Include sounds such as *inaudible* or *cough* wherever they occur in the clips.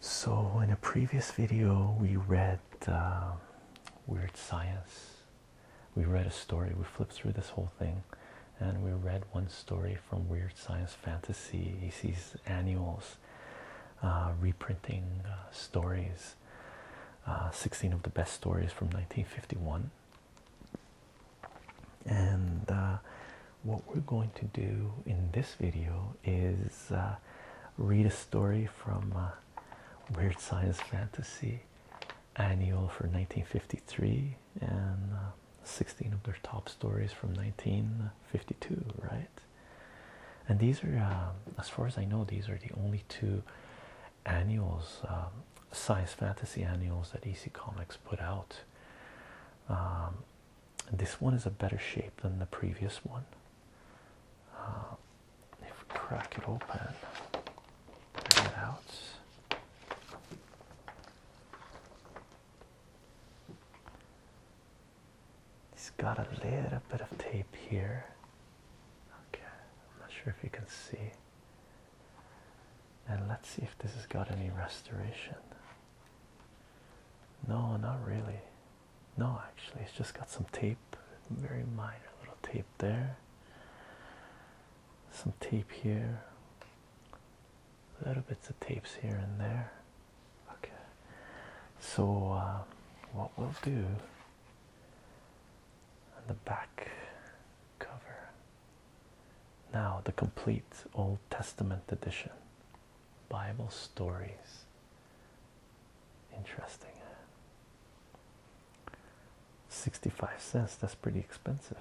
So, in a previous video, we read um, Weird Science. We read a story, we flipped through this whole thing, and we read one story from Weird Science Fantasy, AC's annuals, uh, reprinting uh, stories, uh, 16 of the best stories from 1951. And uh, what we're going to do in this video is uh, read a story from uh, Weird Science Fantasy Annual for 1953 and 16 of their top stories from 1952, right? And these are, as far as I know, these are the only two annuals, um, science fantasy annuals that EC Comics put out um, this one is a better shape than the previous one. Uh, if we crack it open, bring it out. He's got a little bit of tape here. Okay, I'm not sure if you can see. And let's see if this has got any restoration. No, not really. No, actually, it's just got some tape, very minor little tape there. Some tape here. Little bits of tapes here and there. Okay. So, um, what we'll do on the back cover now, the complete Old Testament edition Bible stories. Interesting. 65 cents, that's pretty expensive.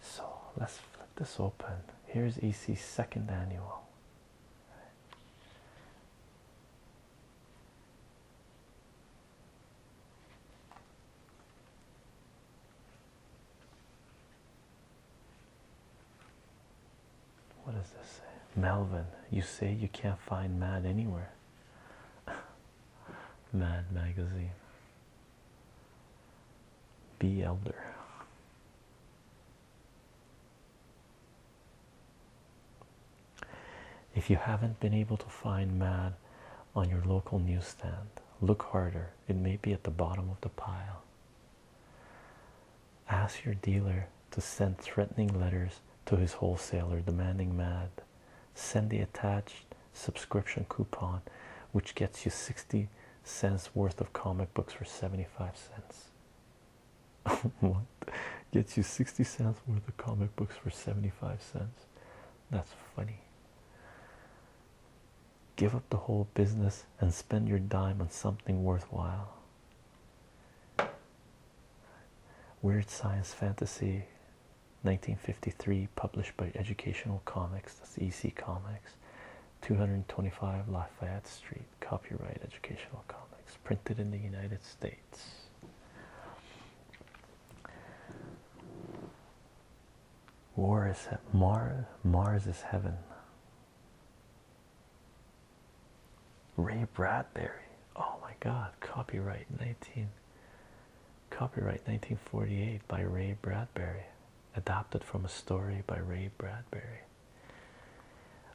So let's flip this open. Here's EC's second annual. What does this say? Melvin, you say you can't find Mad anywhere. *laughs* Mad Magazine. B. Elder. If you haven't been able to find Mad on your local newsstand, look harder. It may be at the bottom of the pile. Ask your dealer to send threatening letters to his wholesaler demanding Mad. Send the attached subscription coupon, which gets you 60 cents worth of comic books for 75 cents. *laughs* what gets you 60 cents worth of comic books for 75 cents? That's funny. Give up the whole business and spend your dime on something worthwhile. Weird Science Fantasy 1953, published by Educational Comics, that's EC Comics, 225 Lafayette Street, copyright Educational Comics, printed in the United States. War is Mars. Mars is heaven. Ray Bradbury. Oh my God! Copyright nineteen. Copyright nineteen forty-eight by Ray Bradbury. Adapted from a story by Ray Bradbury.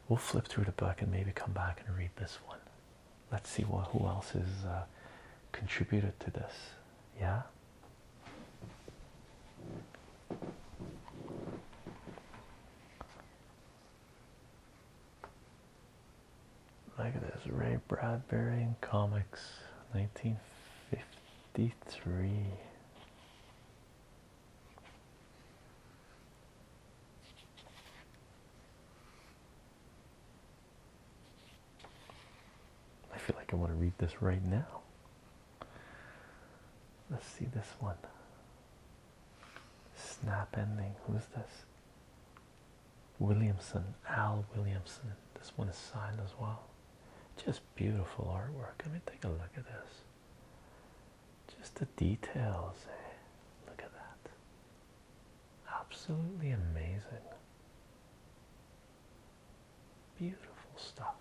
We'll flip through the book and maybe come back and read this one let's see what who else has uh, contributed to this. Yeah. Look at this Ray Bradbury in comics, nineteen fifty-three. I feel like I want to read this right now. Let's see this one. Snap ending. Who's this? Williamson. Al Williamson. This one is signed as well. Just beautiful artwork. I mean, take a look at this. Just the details. Eh? Look at that. Absolutely amazing. Beautiful stuff.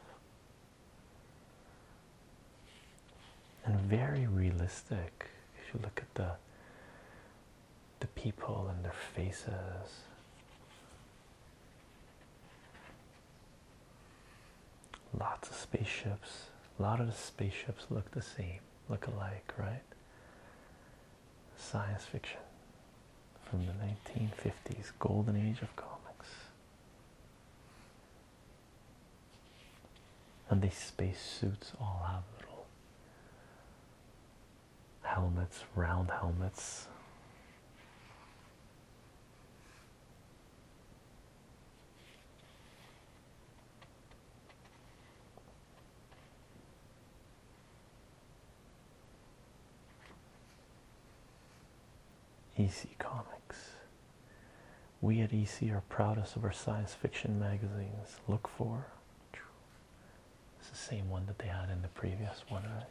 And very realistic. If you look at the the people and their faces. Lots of spaceships. A lot of the spaceships look the same, look alike, right? Science fiction from the 1950s, golden age of comics. And these spacesuits all have little helmets, round helmets. EC Comics. We at EC are proudest of our science fiction magazines. Look for. It's the same one that they had in the previous one, right?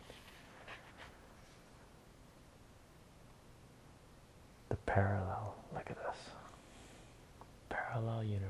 The parallel. Look at this. Parallel universe.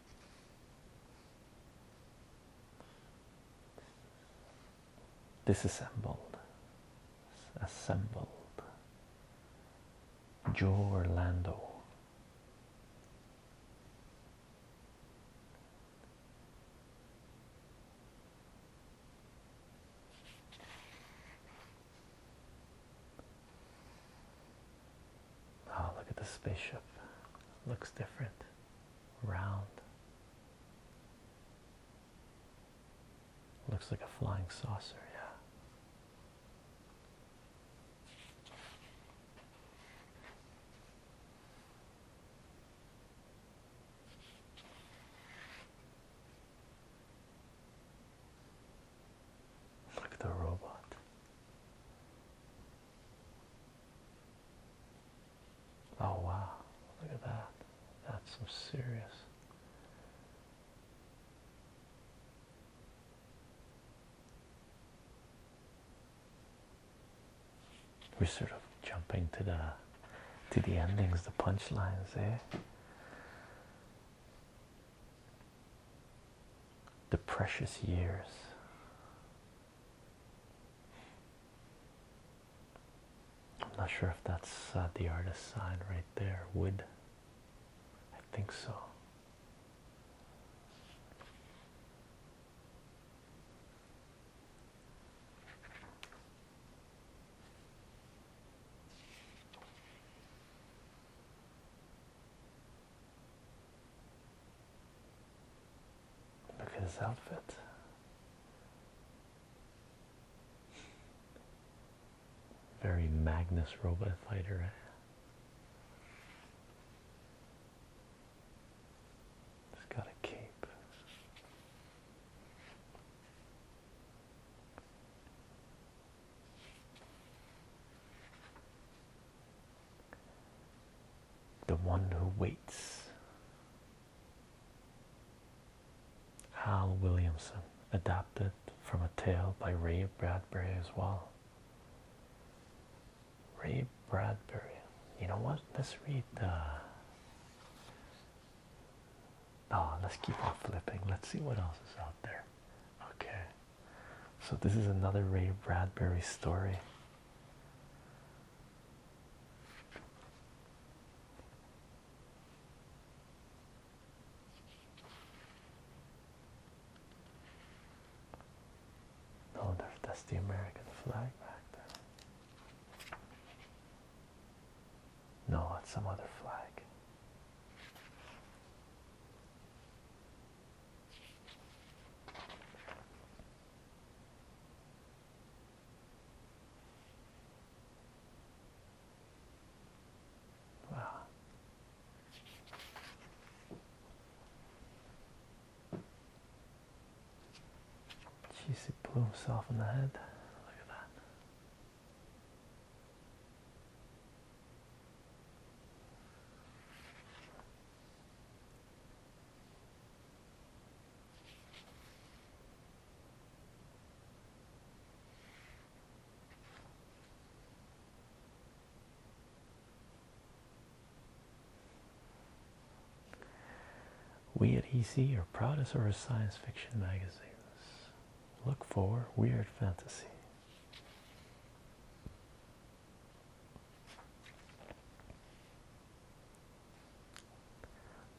Disassembled, assembled. Joe Orlando. Oh, look at the spaceship. Looks different. Round. Looks like a flying saucer, yeah. Look at the robot. Oh wow, look at that. That's some serious. We're sort of jumping to the to the endings, the punchlines, eh? the precious years. I'm not sure if that's uh, the artist's sign right there. Wood. I think so. Look at his outfit. Very Magnus robot fighter. Eh? He's got a cape the one who waits. Hal Williamson, adapted from a tale by Ray Bradbury as well. Ray Bradbury. You know what? Let's read the. Oh, uh, ah, let's keep on flipping. Let's see what else is out there. Okay. So, this is another Ray Bradbury story. Oh, that's the American flag back there. No, it's some other flag. Wow. Jeez, he blew himself in the head. Look at that. We at EC are proud of our science fiction magazines. Look for weird fantasy.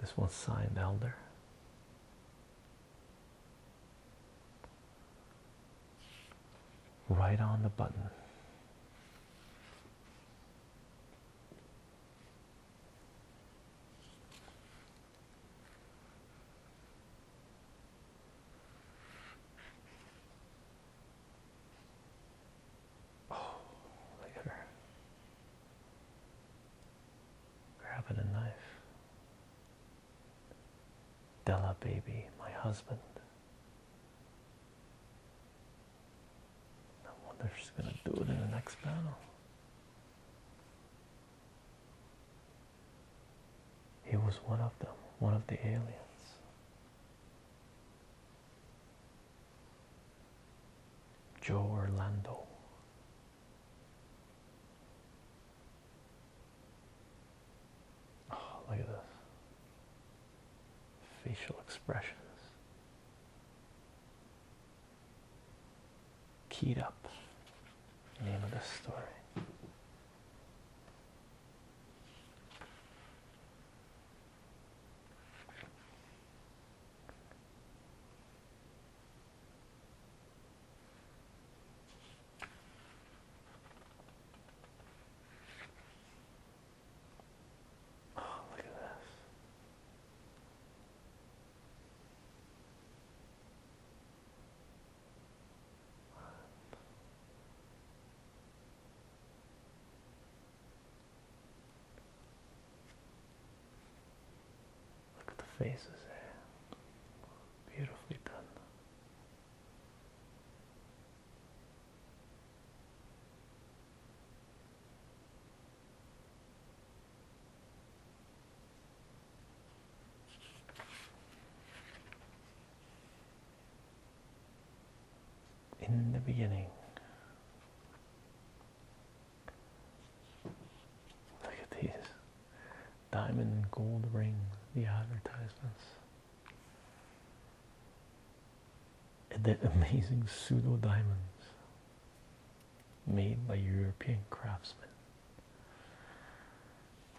This one's signed Elder. Right on the button. Oh, look at her. Grabbing a knife. Della, baby, my husband. No wonder she's going to do it in the next battle. He was one of them, one of the aliens. Joe Orlando. Oh, look at this. Facial expressions. Keyed up. Name of the story. Oh, look at this. One, Look at the faces there. Beautifully done in the beginning. Look at these diamond and gold rings, the advertisements. And the *laughs* amazing pseudo diamonds made by European craftsmen.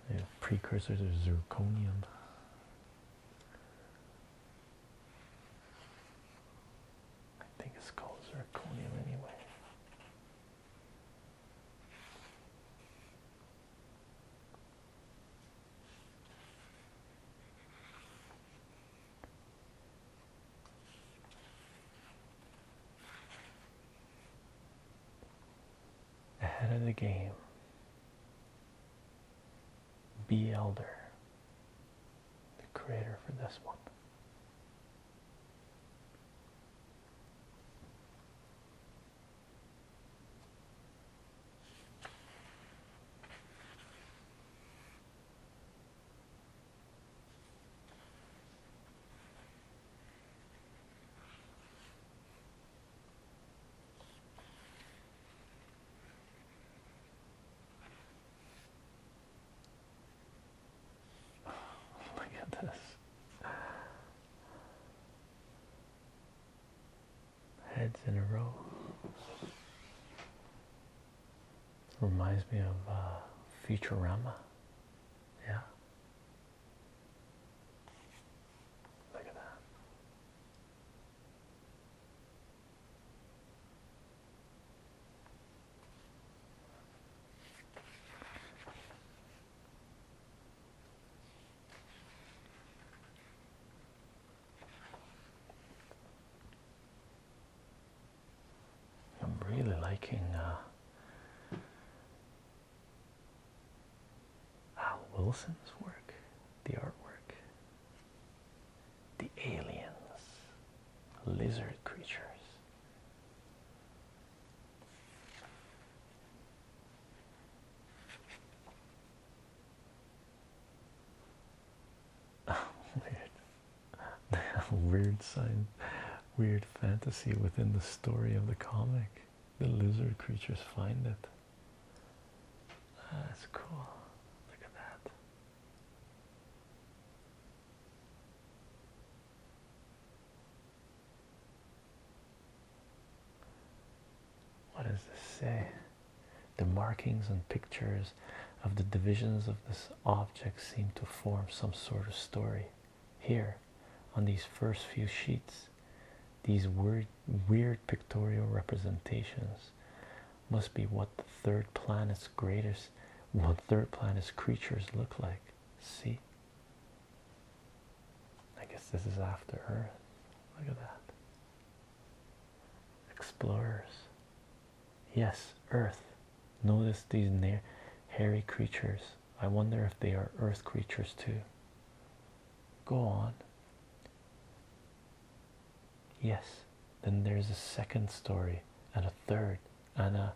They precursors of zirconium. I think it's called zirconium anyway. Ahead of the game. Be Elder, the creator for this one. Look at this. Heads in a row. Reminds me of uh, Futurama. Yeah. Look at that. I'm really liking uh, Wilson's work, the artwork the aliens, lizard creatures. *laughs* weird. *laughs* weird sign, weird fantasy within the story of the comic. The lizard creatures find it. That's cool. Look at that. What does this say? The markings and pictures of the divisions of this object seem to form some sort of story. Here, on these first few sheets, these words weird pictorial representations must be what the third planet's greatest what third planet's creatures look like see i guess this is after earth look at that explorers yes earth notice these near hairy creatures i wonder if they are earth creatures too go on Yes, then there's a second story and a third and a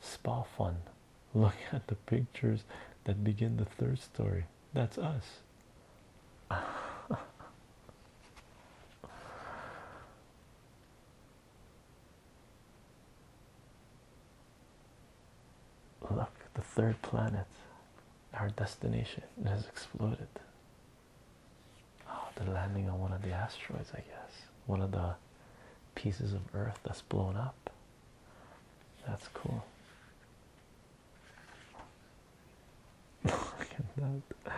spa fun. Look *laughs* at the pictures that begin the third story. That's us. *laughs* Look, the third planet our destination has exploded. Oh, the landing on one of the asteroids, I guess. One of the pieces of Earth that's blown up. That's cool. Look at that.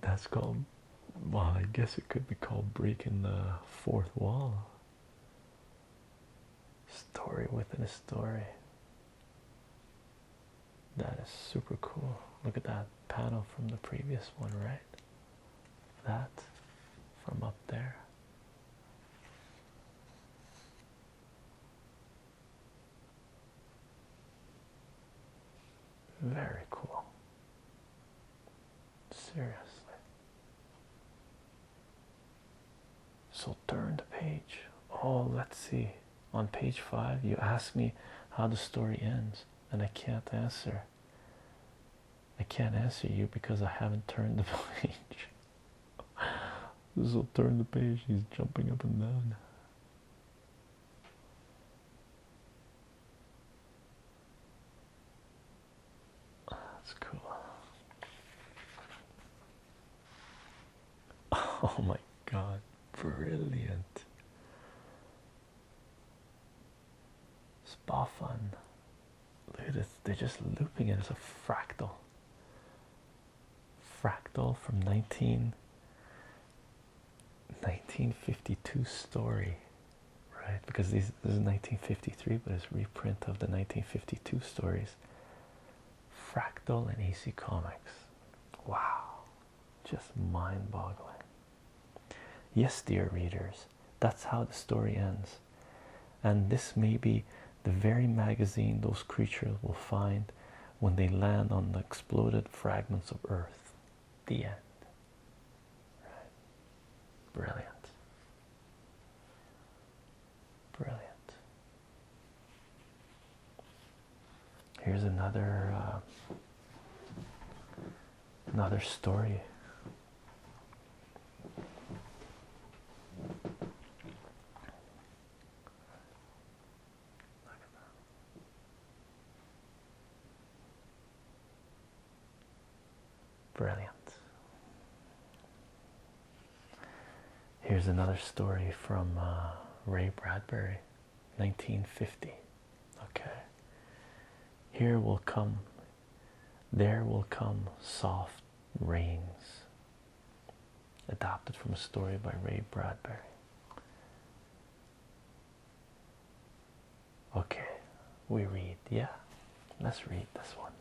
That's called. Well, I guess it could be called breaking the fourth wall. Story within a story. That is super cool. Look at that panel from the previous one, right? That from up there. Very cool. Seriously so turn the page oh let's see on page five you ask me how the story ends and i can't answer i can't answer you because i haven't turned the *laughs* page this will turn the page he's jumping up and down that's cool *laughs* Oh my god, brilliant! Spa Look at this, they're just looping it as a fractal. Fractal from 19 1952 story, right? Because these, this is 1953, but it's reprint of the 1952 stories. Fractal and AC Comics. Wow, just mind boggling. Yes, dear readers, that's how the story ends. And this may be the very magazine those creatures will find when they land on the exploded fragments of Earth. The end. Brilliant. Brilliant. Here's another uh, another story. Brilliant. Here's another story from uh, Ray Bradbury, 1950. Okay. Here will come, there will come soft rains. Adapted from a story by Ray Bradbury. Okay, we read. Yeah, let's read this one.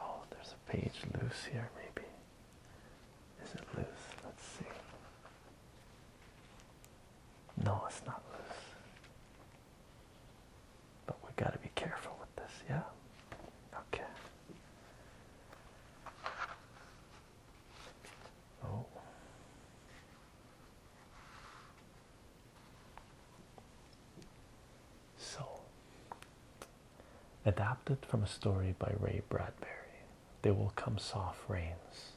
Oh, there's a page loose here, maybe. Is it loose? Let's see. No, it's not loose. But we gotta be careful with this, yeah? Okay. Oh. So, adapted from a story by Ray Bradbury there will come soft rains.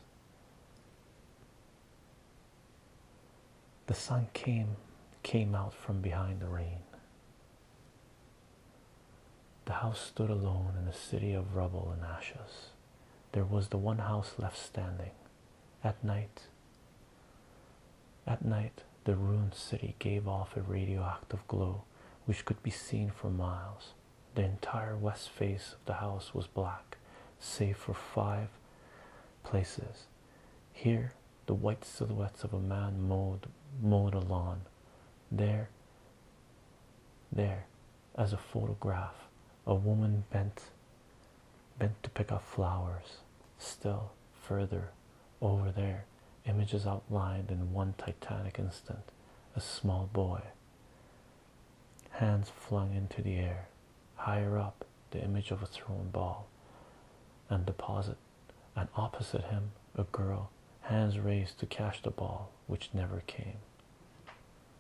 The sun came came out from behind the rain. The house stood alone in a city of rubble and ashes. There was the one house left standing. At night, at night, the ruined city gave off a radioactive glow which could be seen for miles. The entire west face of the house was black, save for five places. Here, the white silhouettes of a man mowed, mowed a lawn. There, there, as a photograph, a woman bent, bent to pick up flowers. Still further, over there, images outlined in one titanic instant. A small boy, Hands flung into the air. Higher up, the image of a thrown ball and deposit, and opposite him, a girl, hands raised to catch the ball, which never came.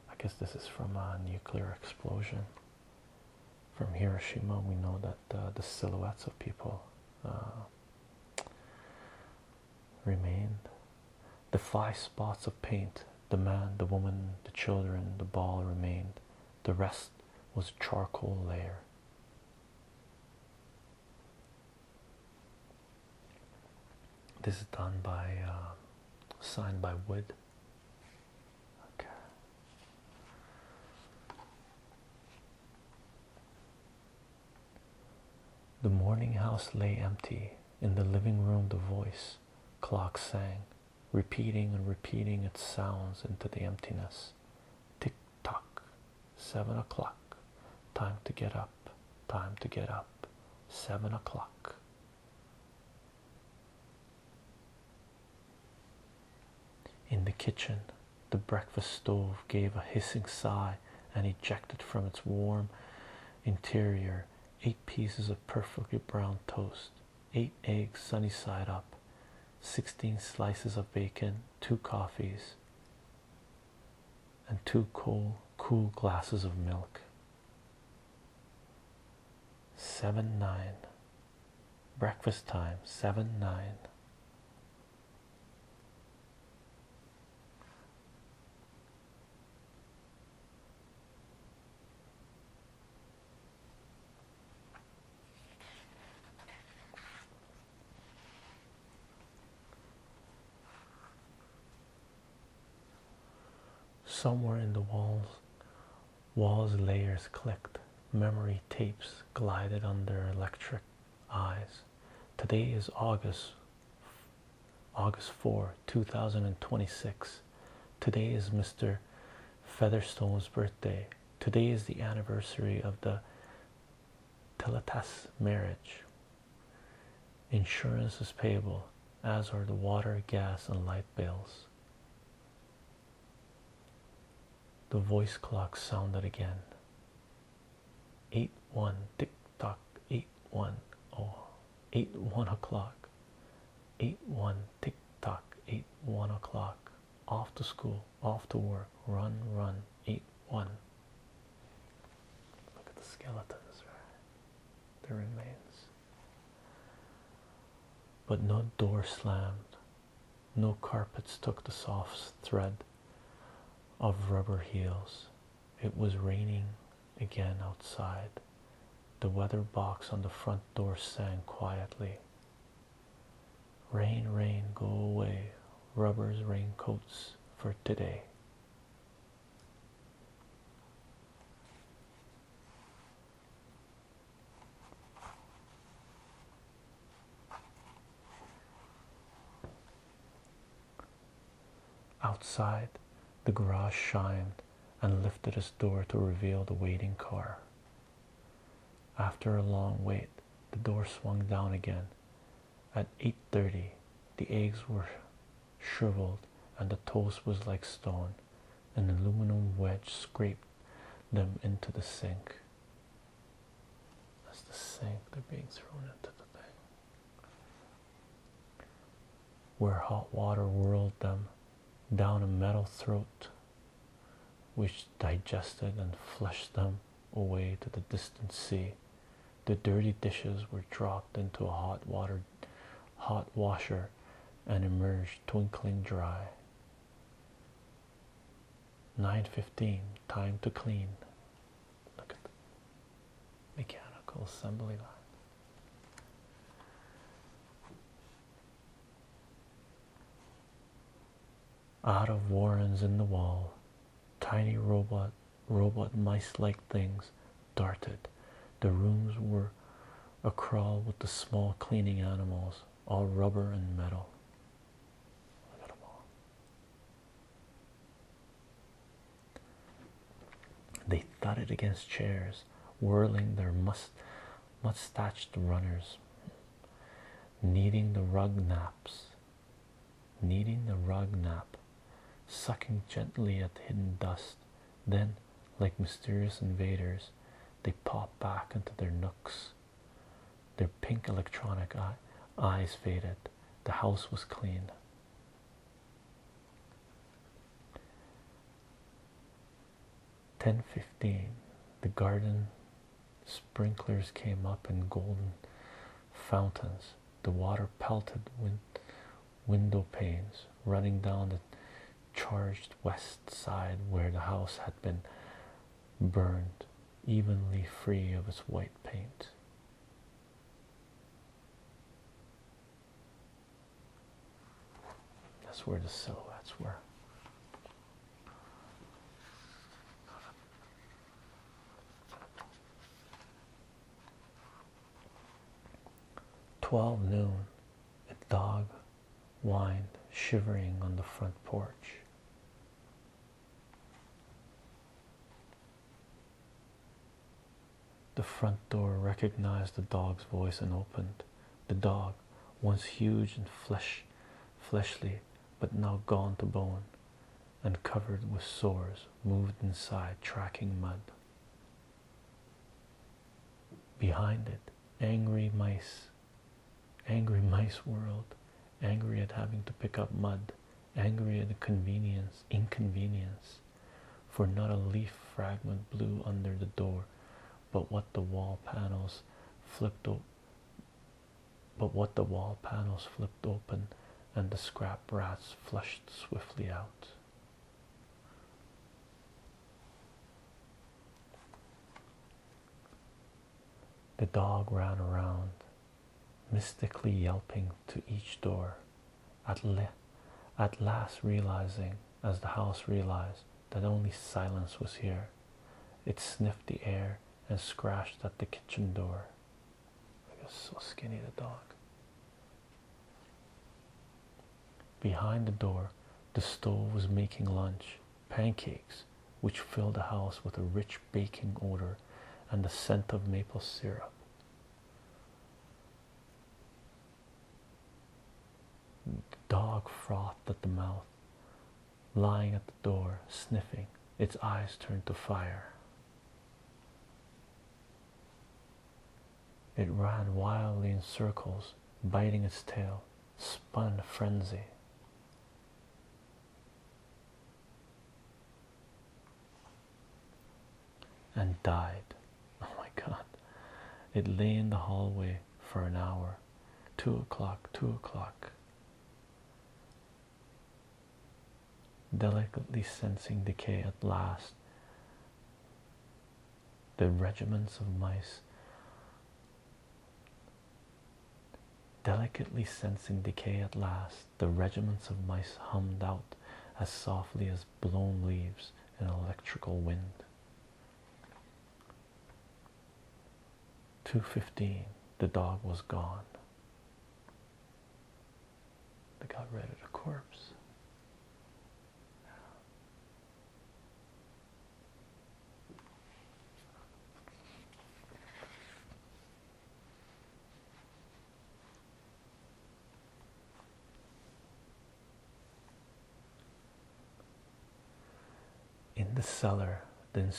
I guess this is from a nuclear explosion. From Hiroshima, we know that uh, the silhouettes of people uh, remained. The five spots of paint, the man, the woman, the children, the ball remained. The rest was charcoal layer. This is done by, uh, signed by Wood. Okay. The morning house lay empty. In the living room, the voice clock sang, repeating and repeating its sounds into the emptiness. Tick tock, seven o'clock. Time to get up, time to get up, seven o'clock. In the kitchen, the breakfast stove gave a hissing sigh and ejected from its warm interior eight pieces of perfectly browned toast, eight eggs sunny side up, 16 slices of bacon, two coffees, and two cool, cool glasses of milk. 7 9. Breakfast time 7 9. Somewhere in the walls, walls layers clicked. Memory tapes glided under electric eyes. Today is August August 4, 2026. Today is Mr. Featherstone's birthday. Today is the anniversary of the Teletas marriage. Insurance is payable, as are the water, gas, and light bills. The voice clock sounded again. 8 1 tick talk eight one oh eight one o'clock eight one tick tock eight one o'clock off to school off to work run run eight one look at the skeletons right the remains but no door slammed no carpets took the soft thread of rubber heels it was raining again outside. The weather box on the front door sang quietly. Rain, rain, go away. Rubbers, raincoats for today. Outside, the garage shined and lifted its door to reveal the waiting car. After a long wait, the door swung down again. At 8:30, the eggs were shriveled and the toast was like stone. An aluminum wedge scraped them into the sink. That's the sink they're being thrown into the thing where hot water whirled them down a metal throat which digested and flushed them away to the distant sea. The dirty dishes were dropped into a hot water hot washer and emerged twinkling dry. 9.15 time to clean. Look at the mechanical assembly line out of warrens in the wall tiny robot robot mice-like things darted the rooms were a crawl with the small cleaning animals all rubber and metal Look at them all. They thudded against chairs, whirling their must mustached runners, kneading the rug naps, kneading the rug nap, sucking gently at hidden dust. Then, like mysterious invaders, they pop back into their nooks. Their pink electronic eyes faded. The house was clean. Ten fifteen, the garden sprinklers came up in golden fountains. The water pelted window panes, running down the charged west side where the house had been burned, evenly free of its white paint. That's where the silhouettes were. Twelve noon, a dog whined, shivering on the front porch. The front door recognized the dog's voice and opened. The dog, once huge and flesh, fleshly, but now gaunt to bone and covered with sores, moved inside, tracking mud. Behind it, angry mice, angry mice world, angry at having to pick up mud, angry at the convenience, inconvenience, for not a leaf fragment blew under the door, but what the wall panels flipped open. But what the wall panels flipped open and the scrap rats flushed swiftly out. The dog ran around, mystically yelping to each door, at, le at last realizing, as the house realized, that only silence was here. It sniffed the air and scratched at the kitchen door. It was so skinny, the dog. Behind the door, the stove was making lunch, pancakes, which filled the house with a rich baking odor and the scent of maple syrup. Dog frothed at the mouth, lying at the door, sniffing, its eyes turned to fire. It ran wildly in circles, biting its tail, spun frenzy and died. Oh my god. It lay in the hallway for an hour. Two o'clock, two o'clock. Delicately sensing decay at last. The regiments of mice. Delicately sensing decay at last, the regiments of mice hummed out as softly as blown leaves and electrical wind. 2.15 the dog was gone. They got rid of the corpse. In the cellar, the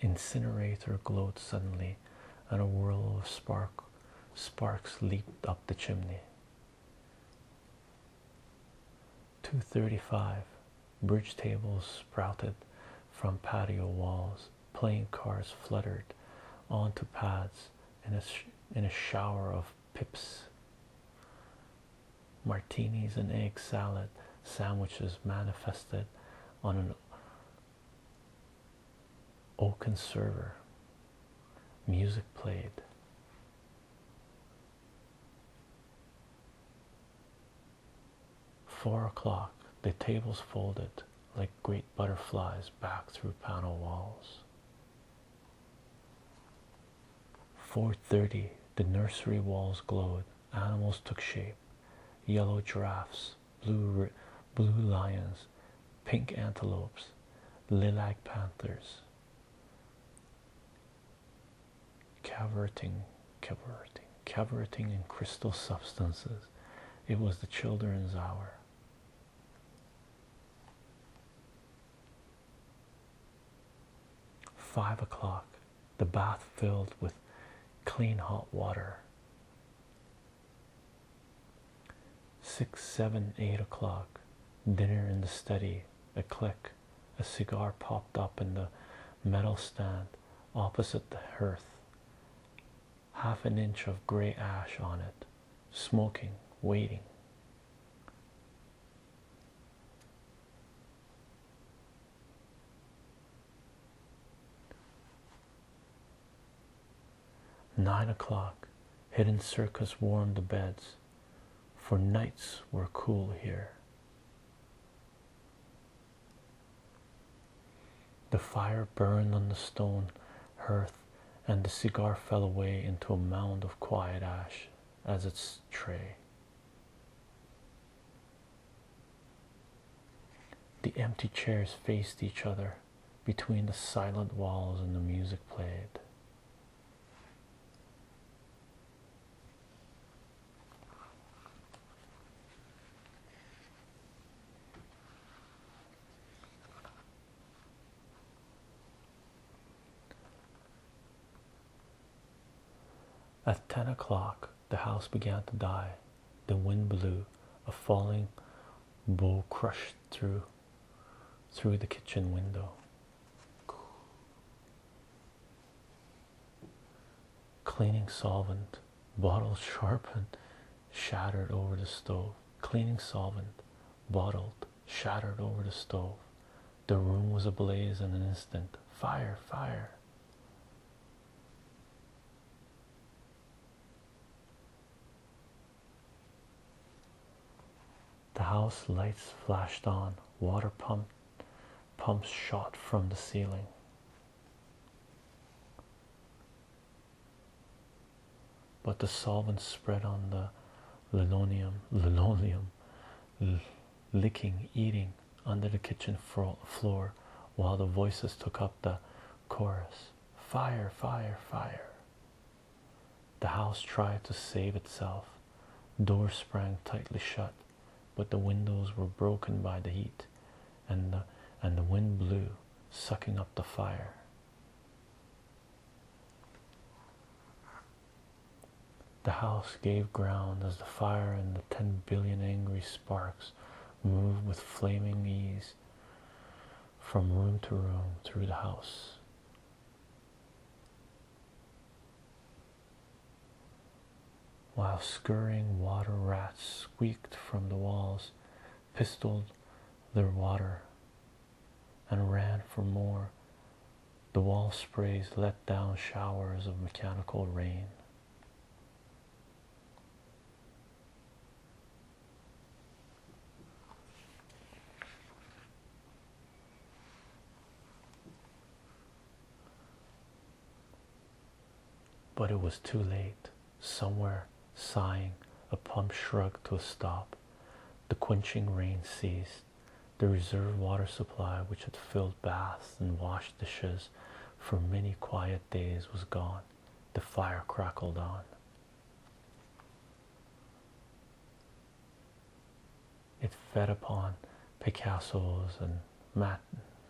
incinerator glowed suddenly, and a whirl of spark sparks leaped up the chimney. 235 bridge tables sprouted from patio walls playing cards fluttered onto paths in a, in a shower of pips, martinis, and egg salad sandwiches manifested on an oaken server. Music played. Four o'clock, the tables folded like great butterflies back through panel walls. 4:30 the nursery walls glowed animals took shape yellow giraffes blue blue lions pink antelopes lilac panthers cavorting cavorting cavorting in crystal substances it was the children's hour Five o'clock, the bath filled with clean hot water. Six, seven, eight o'clock, dinner in the study, a click, a cigar popped up in the metal stand opposite the hearth, half an inch of gray ash on it smoking, waiting. Nine o'clock, hidden circus warmed the beds, for nights were cool here. The fire burned on the stone hearth and the cigar fell away into a mound of quiet ash as its tray. The empty chairs faced each other between the silent walls, and the music played. At ten o'clock, the house began to die. The wind blew. A falling bow crushed through through the kitchen window. Cleaning solvent, bottle *laughs* sharpened, shattered over the stove. Cleaning solvent, bottled, shattered over the stove. The room was ablaze in an instant. Fire, fire. The house lights flashed on. Water pump pumps shot from the ceiling but the solvents spread on the linoleum, linoleum, licking, eating under the kitchen floor while the voices took up the chorus Fire, fire, fire. The house tried to save itself. Doors sprang tightly shut, but the windows were broken by the heat, and the, and the wind blew, sucking up the fire. The house gave ground as the fire and the ten billion angry sparks moved with flaming ease from room to room through the house. While scurrying water rats squeaked from the walls, pistoled their water and ran for more. The wall sprays let down showers of mechanical rain. But it was too late. Somewhere, sighing, a pump shrugged to a stop. The quenching rain ceased the reserve water supply, which had filled baths and washed dishes for many quiet days, was gone. The fire crackled on. It fed upon Picasso's and Mat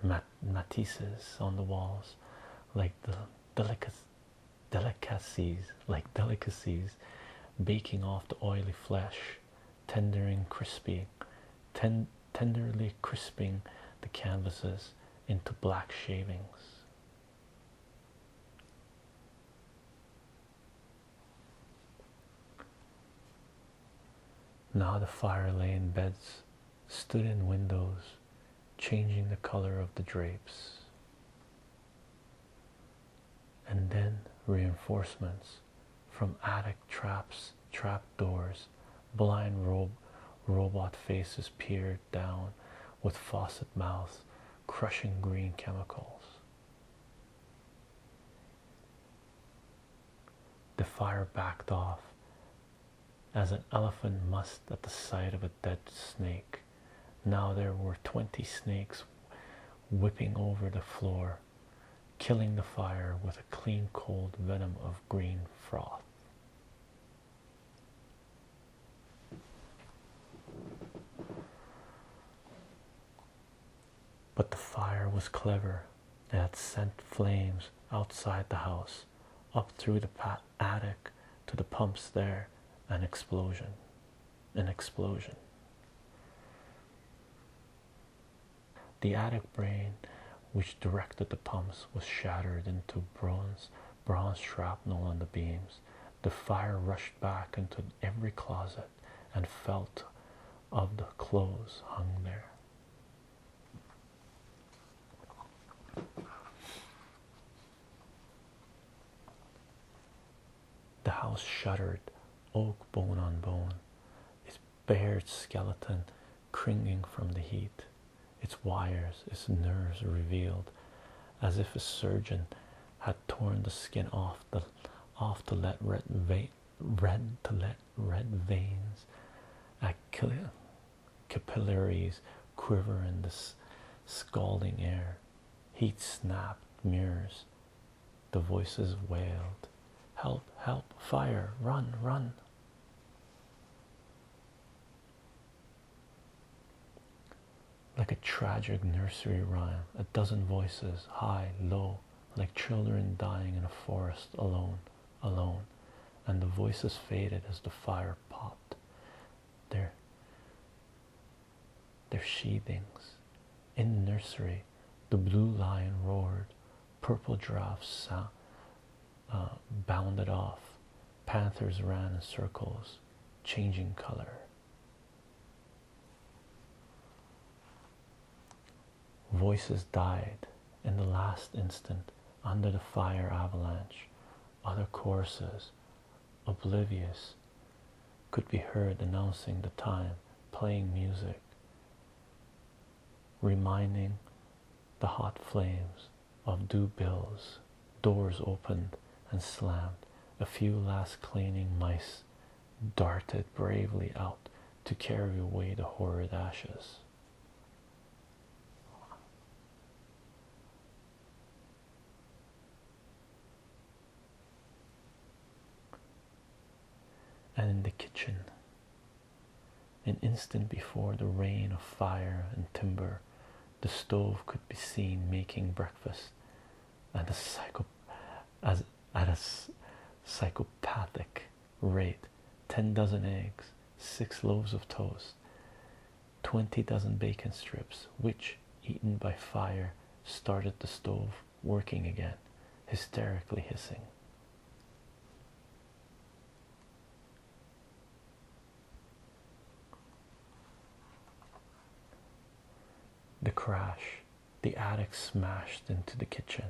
Mat Matisse's on the walls, like the delicacies, delicacies, like delicacies baking off the oily flesh, tendering crispy, tenderly crisping the canvases into black shavings. Now the fire lay in beds, stood in windows, changing the color of the drapes and then reinforcements from attic traps, trapdoors, blind robe, robot faces peered down with faucet mouths, crushing green chemicals. The fire backed off as an elephant must at the sight of a dead snake. Now there were twenty snakes whipping over the floor, killing the fire with a clean, cold venom of green froth. But the fire was clever. It had sent flames outside the house, up through the attic to the pumps there, an explosion an explosion. The attic brain, which directed the pumps, was shattered into bronze, bronze shrapnel on the beams. The fire rushed back into every closet and felt of the clothes hung there. The house shuddered, oak bone on bone, its bared skeleton cringing from the heat, its wires, its nerves revealed, as if a surgeon had torn the skin off the off to let red vein, red to let veins, capillaries quiver in the scalding air. Heat snapped mirrors, the voices wailed, Help, help, fire, run, run. Like a tragic nursery rhyme, a dozen voices, high, low, like children dying in a forest, alone, alone. And the voices faded as the fire popped. There, their sheathings. In the nursery, the blue lion roared, purple drafts uh, bounded off, panthers ran in circles, changing color. Voices died in the last instant under the fire avalanche, other coursers, oblivious could be heard announcing the time, playing music, reminding the hot flames of due bills, doors opened and slammed, a few last cleaning mice darted bravely out to carry away the horrid ashes and in the kitchen. An instant before the rain of fire and timber, the stove could be seen making breakfast, and the psycho at a psychopathic rate: ten dozen eggs, six loaves of toast, twenty dozen bacon strips, which, eaten by fire, started the stove working again, hysterically hissing. The crash, the attic smashed into the kitchen,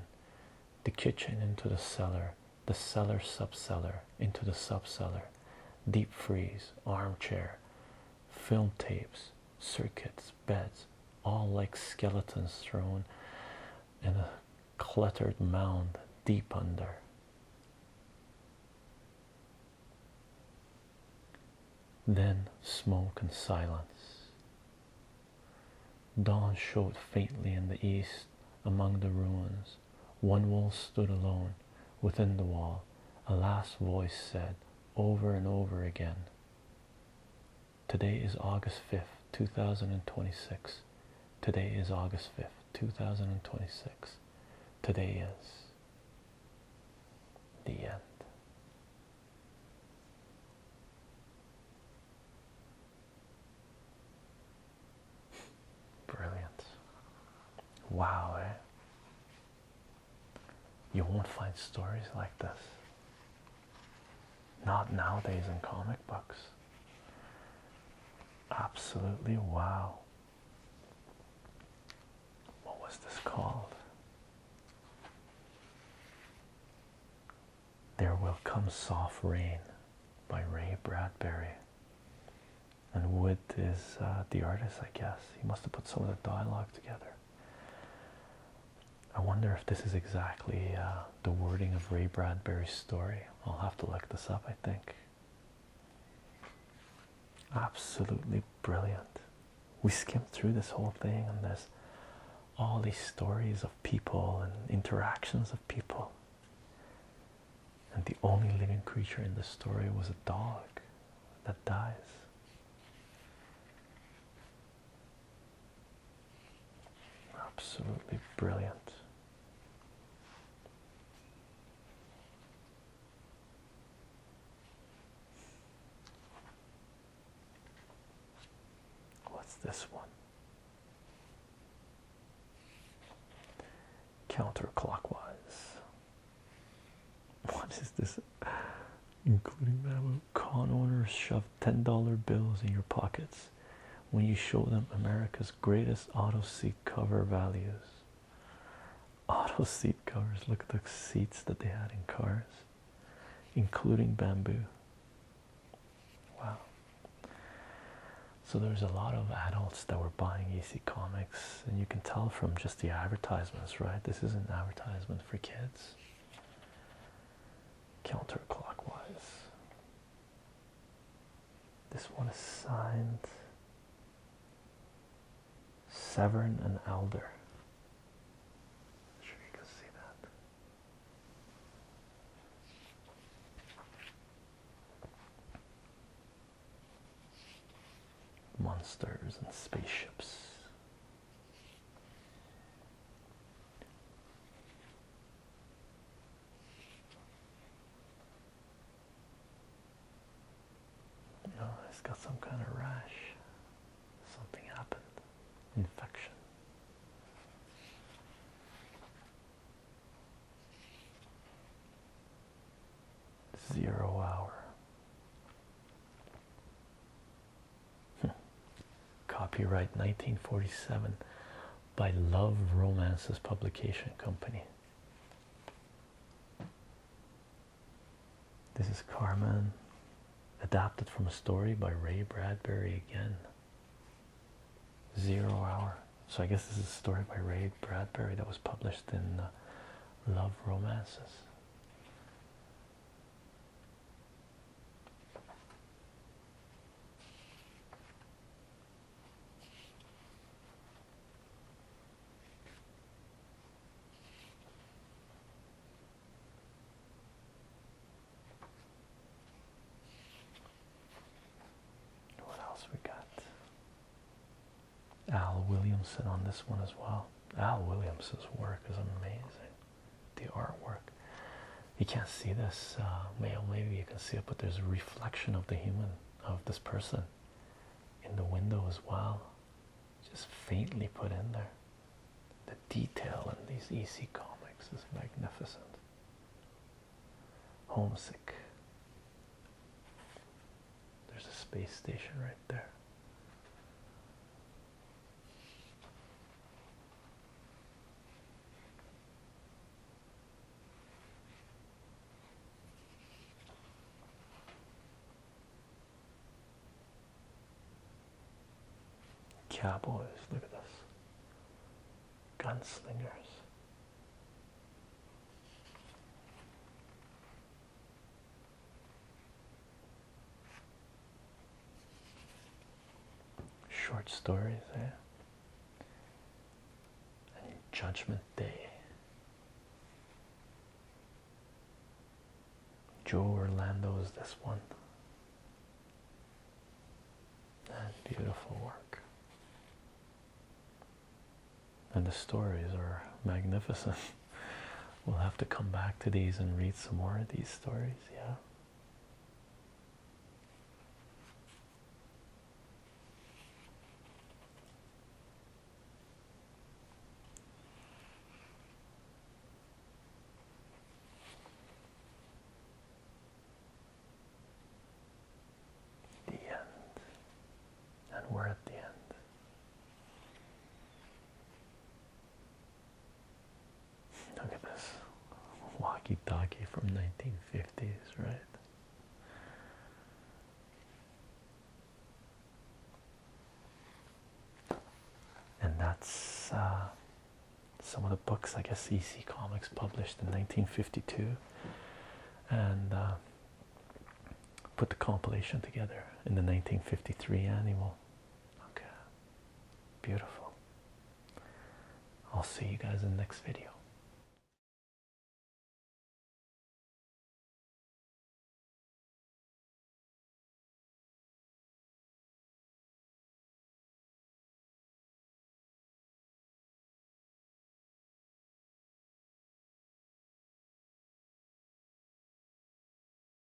the kitchen into the cellar, the cellar subcellar into the subcellar, deep freeze, armchair, film tapes, circuits, beds, all like skeletons thrown in a cluttered mound deep under. Then smoke and silence. Dawn showed faintly in the east among the ruins. One wall stood alone. Within the wall, a last voice said over and over again Today is August 5th, 2026. Today is August 5th, 2026. Today is the end. Brilliant. Wow, eh? You won't find stories like this. Not nowadays in comic books. Absolutely wow. What was this called? There Will Come Soft Rain by Ray Bradbury. And Wood is uh, the artist, I guess. He must have put some of the dialogue together. I wonder if this is exactly uh, the wording of Ray Bradbury's story. I'll have to look this up, I think. Absolutely brilliant. We skimmed through this whole thing, and there's all these stories of people and interactions of people. And the only living creature in the story was a dog that dies. Absolutely brilliant. What's this one? Counterclockwise. *laughs* What is this? Including that one con owners shove $10 bills in your pockets when you show them America's greatest auto seat cover values. Auto seat covers, look at the seats that they had in cars, including bamboo. Wow. So there's a lot of adults that were buying EC Comics, and you can tell from just the advertisements, right? This is an advertisement for kids counterclockwise. This one is signed Severn and Elder. sure you can see that. Monsters and spaceships. You know, has got some kind of rash. Something happened. Infection. Zero hour. Hmm. Copyright 1947 by Love Romances Publication Company. This is Carmen, adapted from a story by Ray Bradbury again. Zero Hour. So I guess this is a story by Ray Bradbury that was published in uh, Love Romances. What else we got? Al Williamson on this one as well. Al Williamson's work is amazing the artwork. You can't see this, uh, maybe you can see it, but there's a reflection of the human of this person in the window as well, just faintly put in there. The detail in these EC comics is magnificent. Homesick. There's a space station right there. Cowboys, look at this. Gunslingers. Short stories, eh? And Judgment Day. Joe Orlando's this one. beautiful work. And the stories are magnificent. *laughs* we'll have to come back to these and read some more of these stories, yeah. The end. And we're at the end. Look at this walkie talkie from 1950s, right? And that's uh, some of the books I guess EC Comics published in 1952 and uh, put the compilation together in the 1953 annual. Okay, beautiful. I'll see you guys in the next video.